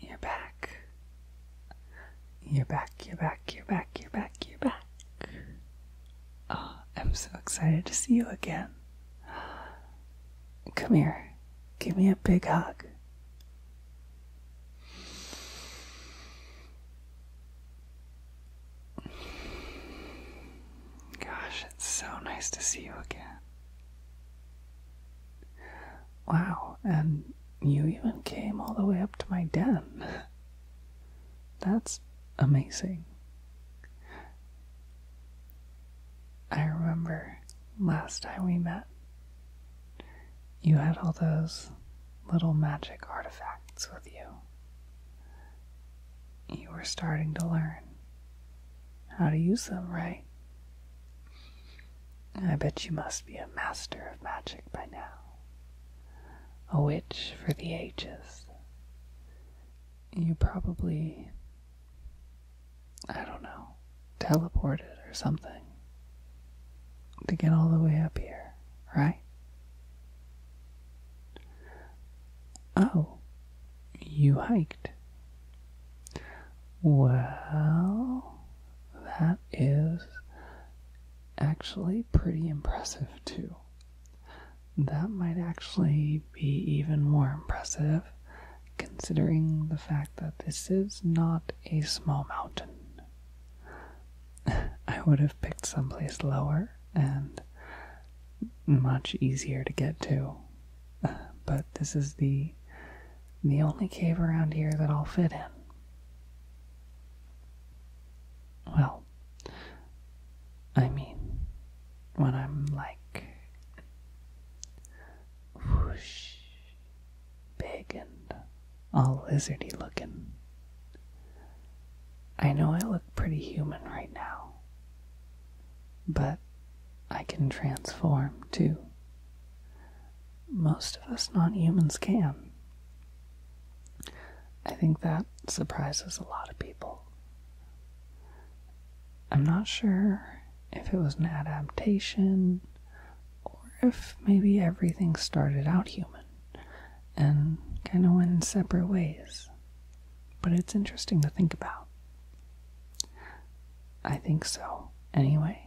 You're back. You're back, you're back, you're back, you're back, you're back. Ah, I'm so excited to see you again. Come here. Give me a big hug. Gosh, it's so nice to see you again. Wow, and you even came all the way up to my den. That's amazing. I remember last time we met, you had all those little magic artifacts with you. You were starting to learn how to use them, right? I bet you must be a master of magic by now, a witch for the ages. You probably, I don't know, teleported or something to get all the way up here, right? Oh, you hiked. Well, that is actually pretty impressive, too. That might actually be even more impressive considering the fact that this is not a small mountain. I would have picked someplace lower and much easier to get to, but this is the the only cave around here that I'll fit in. Well, I mean, when I'm like whoosh, big and all lizardy looking. I know I look pretty human right now, but I can transform too. Most of us non humans can. I think that surprises a lot of people. I'm not sure if it was an adaptation or if maybe everything started out human and kind of went in separate ways. But it's interesting to think about. I think so, anyway.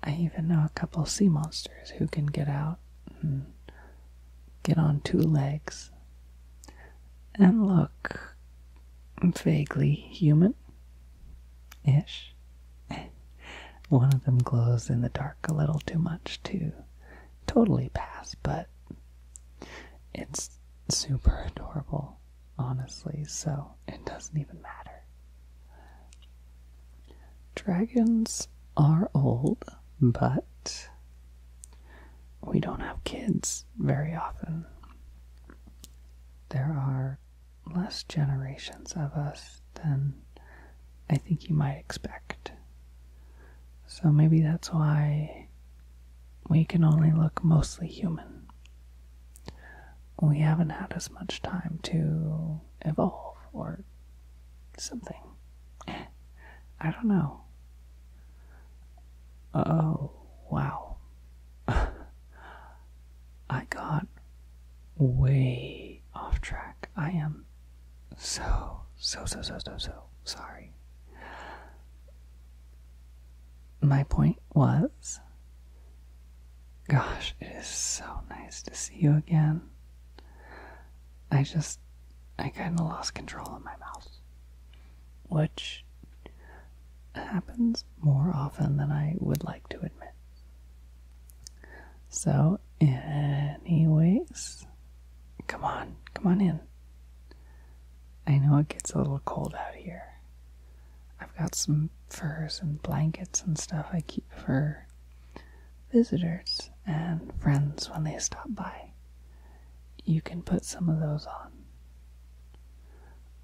I even know a couple sea monsters who can get out and get on two legs and look vaguely human ish. One of them glows in the dark a little too much to totally pass, but it's super adorable, honestly, so it doesn't even matter. Dragons are old, but we don't have kids very often. There are less generations of us than I think you might expect. So maybe that's why we can only look mostly human. We haven't had as much time to evolve or something. I don't know. Oh, wow. I got way off track. I am so, so, so, so, so, so sorry my point was gosh, it is so nice to see you again. I just, I kind of lost control of my mouth, which happens more often than I would like to admit. So, anyways, come on, come on in. I know it gets a little cold out here. I've got some furs and blankets and stuff I keep for visitors and friends when they stop by. You can put some of those on.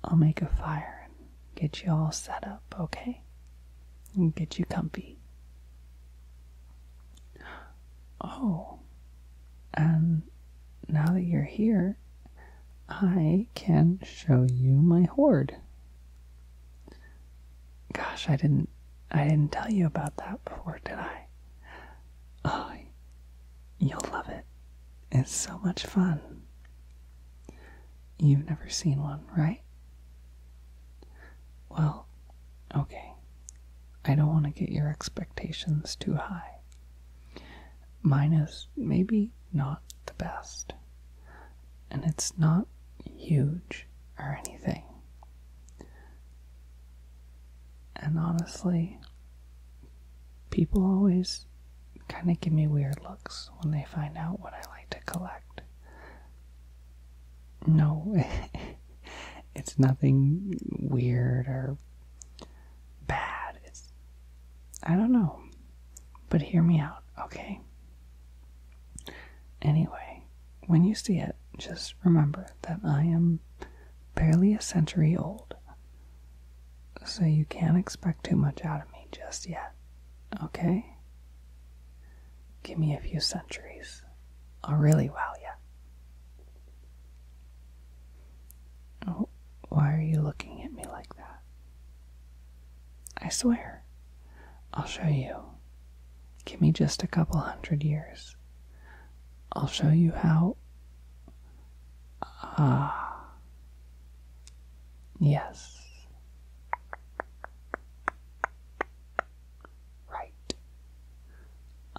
I'll make a fire and get you all set up, okay? And get you comfy oh, and now that you're here, I can show you my hoard. Gosh, I didn't I didn't tell you about that before, did I? Oh, you'll love it. It's so much fun. You've never seen one, right? Well, okay. I don't want to get your expectations too high. Mine is maybe not the best, and it's not huge or anything. And honestly, people always kind of give me weird looks when they find out what I like to collect. No, it's nothing weird or bad. It's I don't know. But hear me out, okay? Anyway, when you see it, just remember that I am barely a century old. So you can't expect too much out of me just yet. Okay? Give me a few centuries. I'll really wow you. Oh, why are you looking at me like that? I swear, I'll show you. Give me just a couple hundred years. I'll show you how. Ah. Yes right.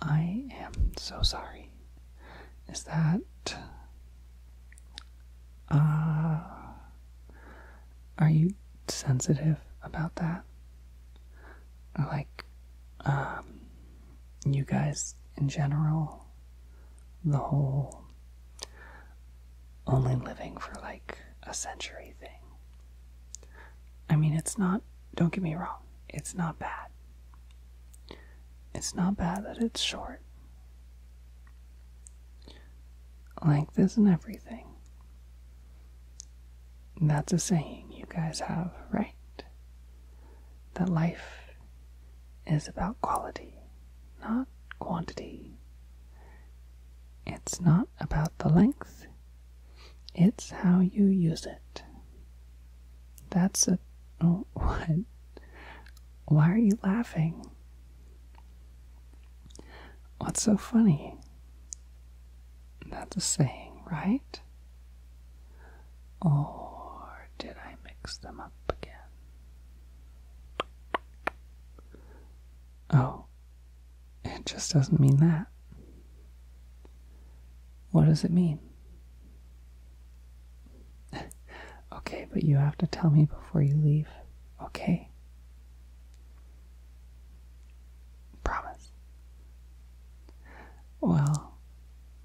I am so sorry. Is that. Uh, are you sensitive about that? Like, um, you guys in general? The whole only living for like a century thing. I mean, it's not don't get me wrong, it's not bad. It's not bad that it's short. Length isn't everything. that's a saying you guys have, right? That life is about quality, not quantity. It's not about the length, it's how you use it. That's a. Oh, what? Why are you laughing? What's so funny? That's a saying, right? Or did I mix them up again? Oh, it just doesn't mean that. What does it mean? okay, but you have to tell me before you leave, okay? Promise. Well,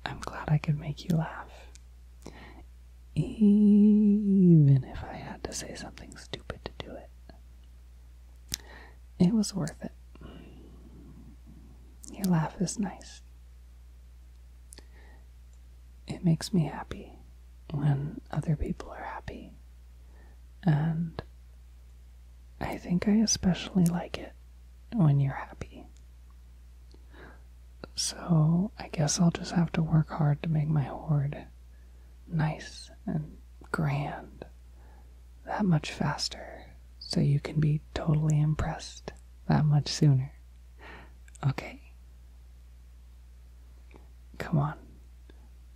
I'm glad I could make you laugh. Even if I had to say something stupid to do it, it was worth it. Your laugh is nice. It makes me happy when other people are happy. And I think I especially like it when you're happy. So I guess I'll just have to work hard to make my hoard nice and grand that much faster so you can be totally impressed that much sooner. Okay. Come on.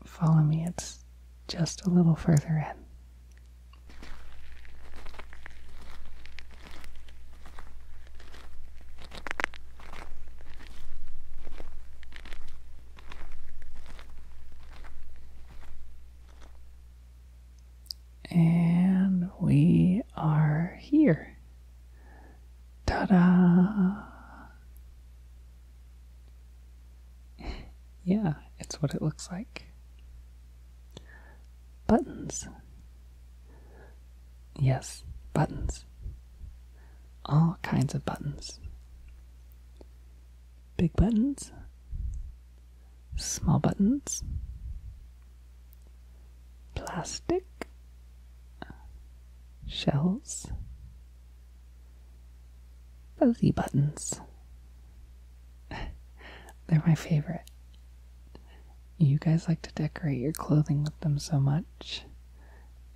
Follow me. It's just a little further in. And we are here. Ta da! yeah, it's what it looks like. Buttons. Yes, buttons. All kinds of buttons. Big buttons, small buttons, plastic, shells, fuzzy buttons. They're my favorite. You guys like to decorate your clothing with them so much,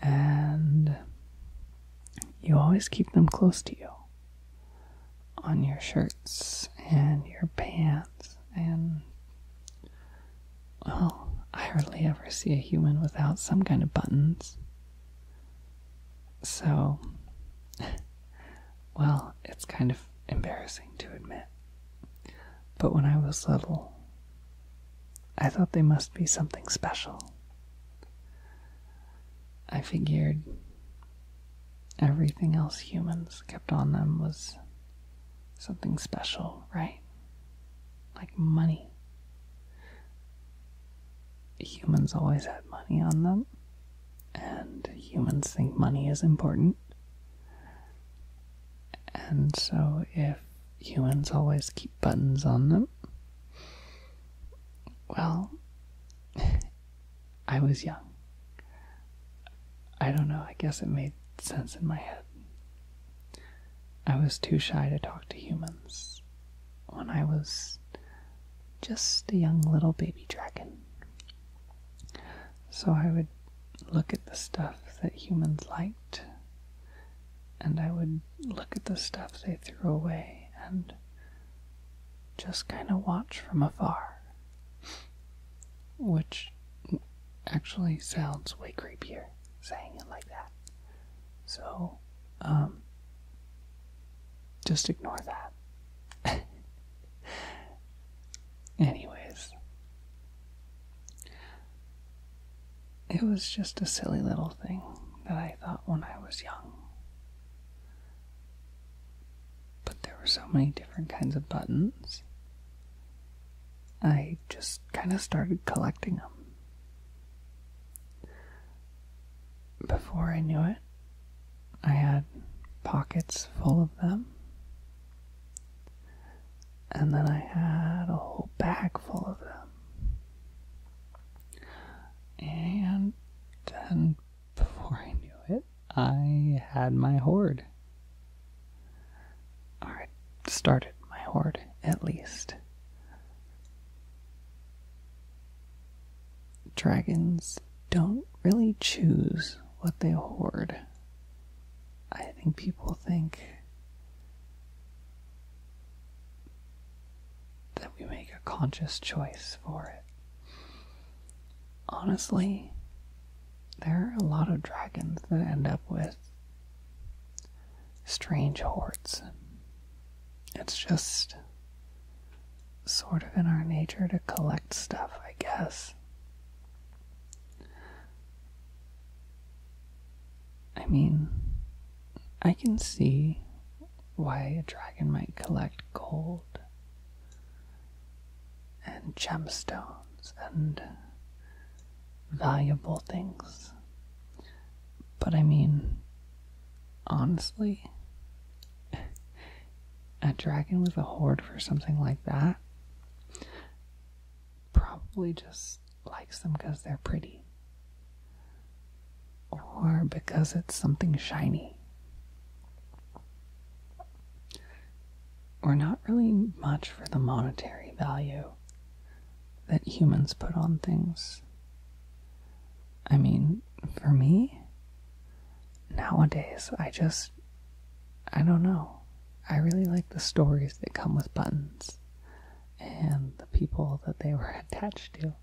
and you always keep them close to you on your shirts and your pants and well, I hardly ever see a human without some kind of buttons. So, well, it's kind of embarrassing to admit. But when I was little, I thought they must be something special. I figured everything else humans kept on them was something special, right? Like money. Humans always had money on them, and humans think money is important. And so, if humans always keep buttons on them, well, I was young. I don't know, I guess it made sense in my head. I was too shy to talk to humans when I was just a young little baby dragon. So I would look at the stuff that humans liked, and I would look at the stuff they threw away, and just kind of watch from afar. Which actually sounds way creepier saying it like that. So, um, just ignore that. Anyways, it was just a silly little thing that I thought when I was young. But there were so many different kinds of buttons. I just kind of started collecting them. Before I knew it, I had pockets full of them. And then I had a whole bag full of them. And then before I knew it, I had my hoard. I started my hoard, at least. Dragons don't really choose what they hoard. I think people think that we make a conscious choice for it. Honestly, there are a lot of dragons that end up with strange hordes. It's just sort of in our nature to collect stuff, I guess. I mean, I can see why a dragon might collect gold and gemstones and valuable things. But I mean, honestly, a dragon with a hoard for something like that probably just likes them because they're pretty or because it's something shiny. or not really much for the monetary value that humans put on things. I mean, for me, nowadays, I just, I don't know. I really like the stories that come with buttons and the people that they were attached to.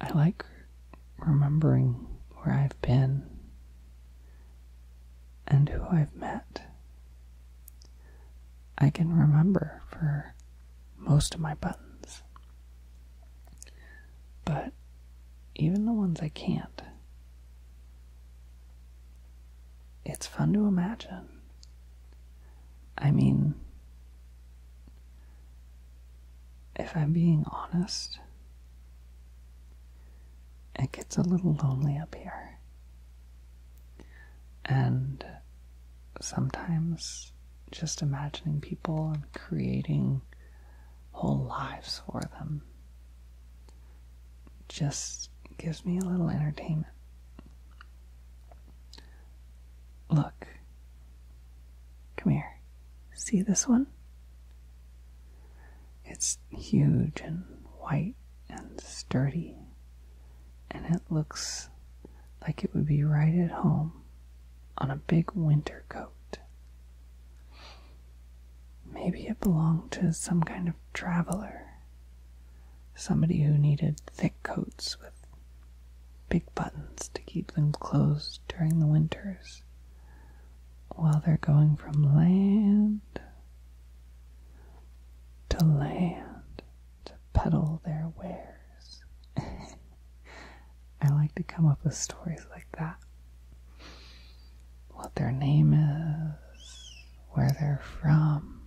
I like remembering where I've been and who I've met. I can remember for most of my buttons. But even the ones I can't, it's fun to imagine. I mean, if I'm being honest, it gets a little lonely up here. And sometimes just imagining people and creating whole lives for them just gives me a little entertainment. Look. Come here. See this one? It's huge and white and sturdy, and it looks like it would be right at home on a big winter coat. Maybe it belonged to some kind of traveler somebody who needed thick coats with big buttons to keep them closed during the winters while they're going from land to land to peddle their wares. I like to come up with stories like that. What their name is, where they're from,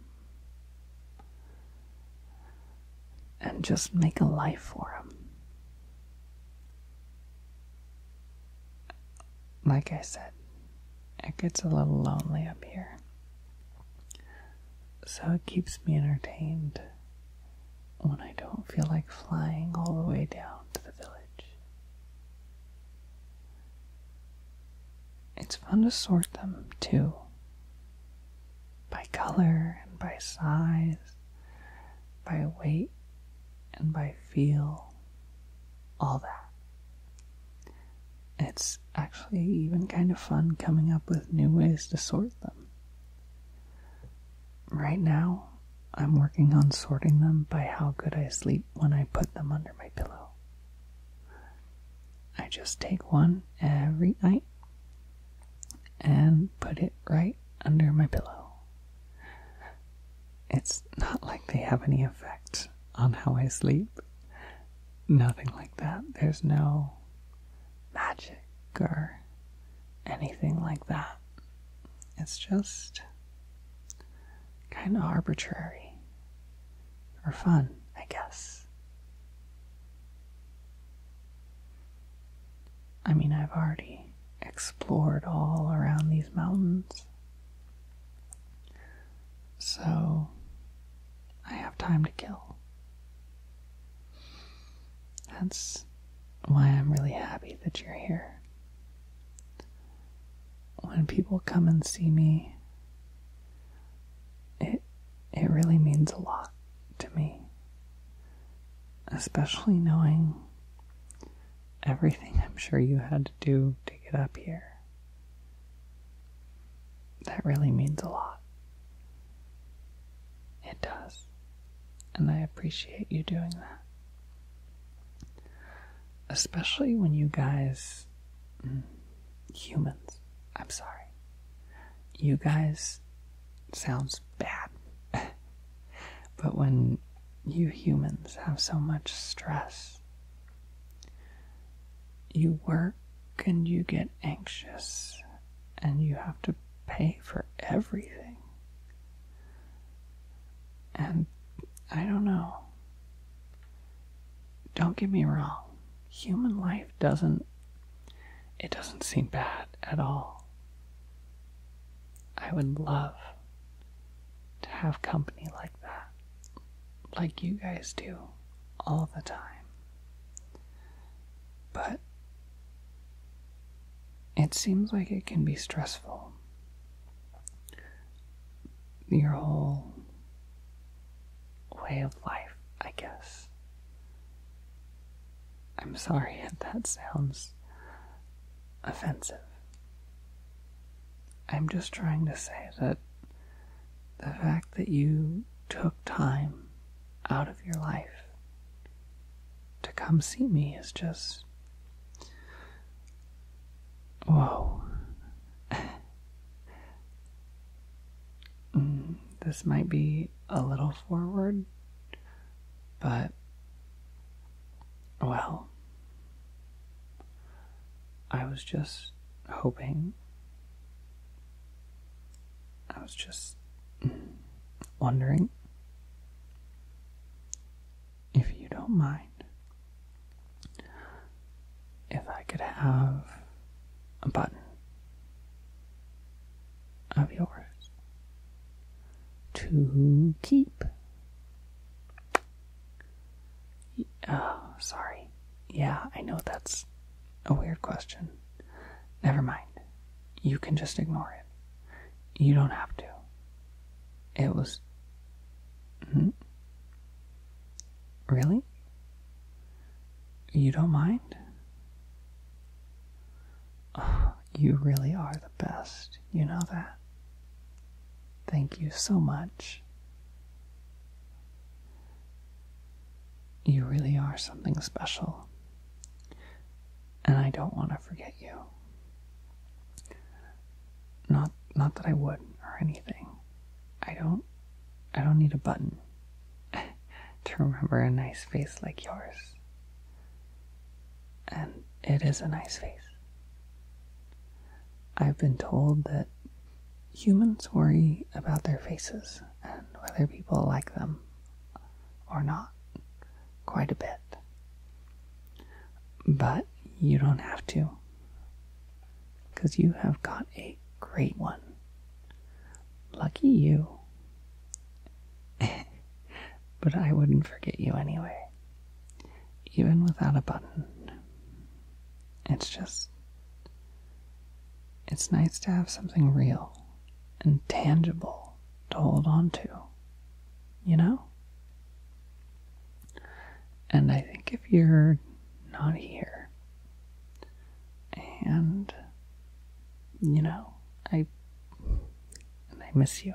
and just make a life for him. Like I said, it gets a little lonely up here. So it keeps me entertained when I don't feel like flying all the way down to the village. It's fun to sort them too, by color and by size, by weight and by feel, all that. It's actually even kind of fun coming up with new ways to sort them. Right now, I'm working on sorting them by how good I sleep when I put them under my pillow. I just take one every night and put it right under my pillow. It's not like they have any effect on how I sleep. Nothing like that. There's no magic or anything like that. It's just kind of arbitrary or fun, I guess. I mean, I've already explored all around these mountains. So I have time to kill. That's why I'm really happy that you're here. When people come and see me, it it really means a lot to me. Especially knowing everything I'm sure you had to do to get up here. That really means a lot. It does. And I appreciate you doing that. Especially when you guys humans. I'm sorry. You guys sounds bad. but when you humans have so much stress, you work and you get anxious and you have to pay for everything. And I don't know don't get me wrong, human life doesn't it doesn't seem bad at all. I would love to have company like that, like you guys do all the time. But it seems like it can be stressful. Your whole way of life, I guess. I'm sorry if that sounds offensive. I'm just trying to say that the fact that you took time out of your life to come see me is just. Whoa, Mm, this might be a little forward, but well, I was just hoping. I was just wondering if you don't mind if I could have a button of yours to keep. Oh, sorry. Yeah, I know that's a weird question. Never mind. You can just ignore it. You don't have to. It was. Hmm? Really? You don't mind? you really are the best. You know that. Thank you so much. You really are something special. And I don't want to forget you. Not not that I would or anything. I don't I don't need a button to remember a nice face like yours. And it is a nice face. I've been told that humans worry about their faces and whether people like them or not quite a bit. But you don't have to. Because you have got a great one. Lucky you. but I wouldn't forget you anyway. Even without a button. It's just. It's nice to have something real and tangible to hold on to, you know? And I think if you're not here, and you know I I miss you.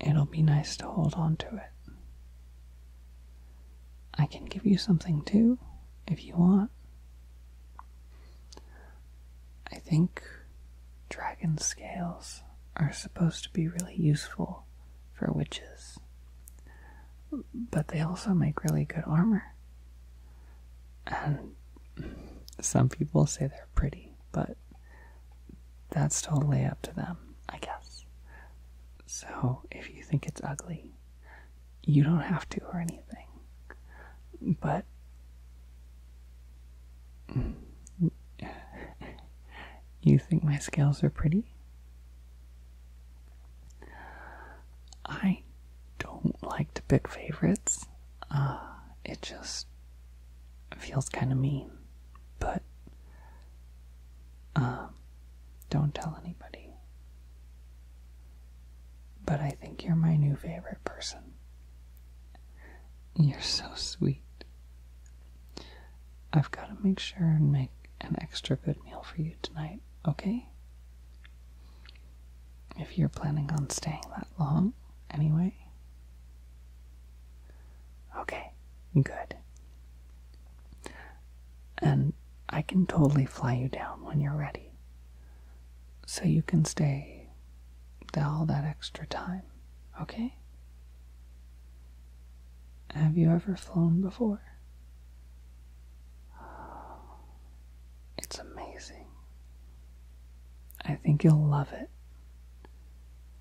It'll be nice to hold on to it. I can give you something too, if you want. I think dragon scales are supposed to be really useful for witches but they also make really good armor. And some people say they're pretty, but that's totally up to them, I guess. So if you think it's ugly, you don't have to or anything. But you think my scales are pretty? I don't like to pick favorites. Uh, it just feels kind of mean. But uh, don't tell anybody. But I think you're my new favorite person. You're so sweet. I've got to make sure and make an extra good meal for you tonight, okay? If you're planning on staying that long, anyway. Okay, good. And I can totally fly you down when you're ready. So you can stay all that extra time, okay? Have you ever flown before? It's amazing. I think you'll love it.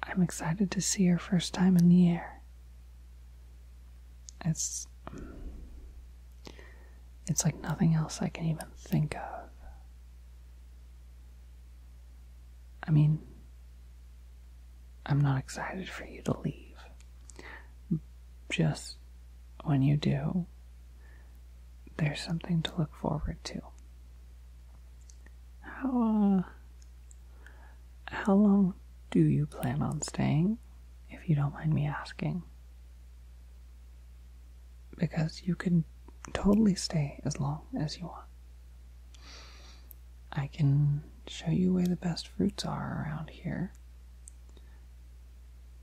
I'm excited to see your first time in the air. It's. It's like nothing else I can even think of. I mean, I'm not excited for you to leave. Just when you do, there's something to look forward to. How, uh, how long do you plan on staying, if you don't mind me asking? Because you can totally stay as long as you want. I can show you where the best fruits are around here.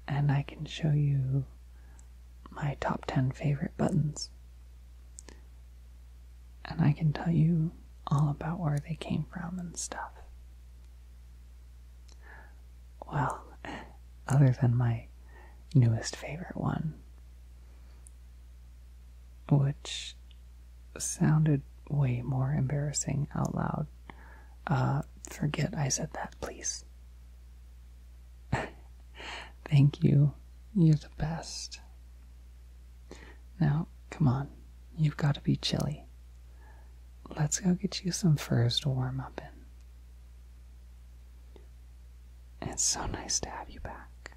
And I can show you my top 10 favorite buttons. And I can tell you all about where they came from and stuff. Well, other than my newest favorite one, which sounded way more embarrassing out loud. Uh, forget I said that, please. Thank you. You're the best. Now, come on. You've got to be chilly. Let's go get you some furs to warm up in. It's so nice to have you back.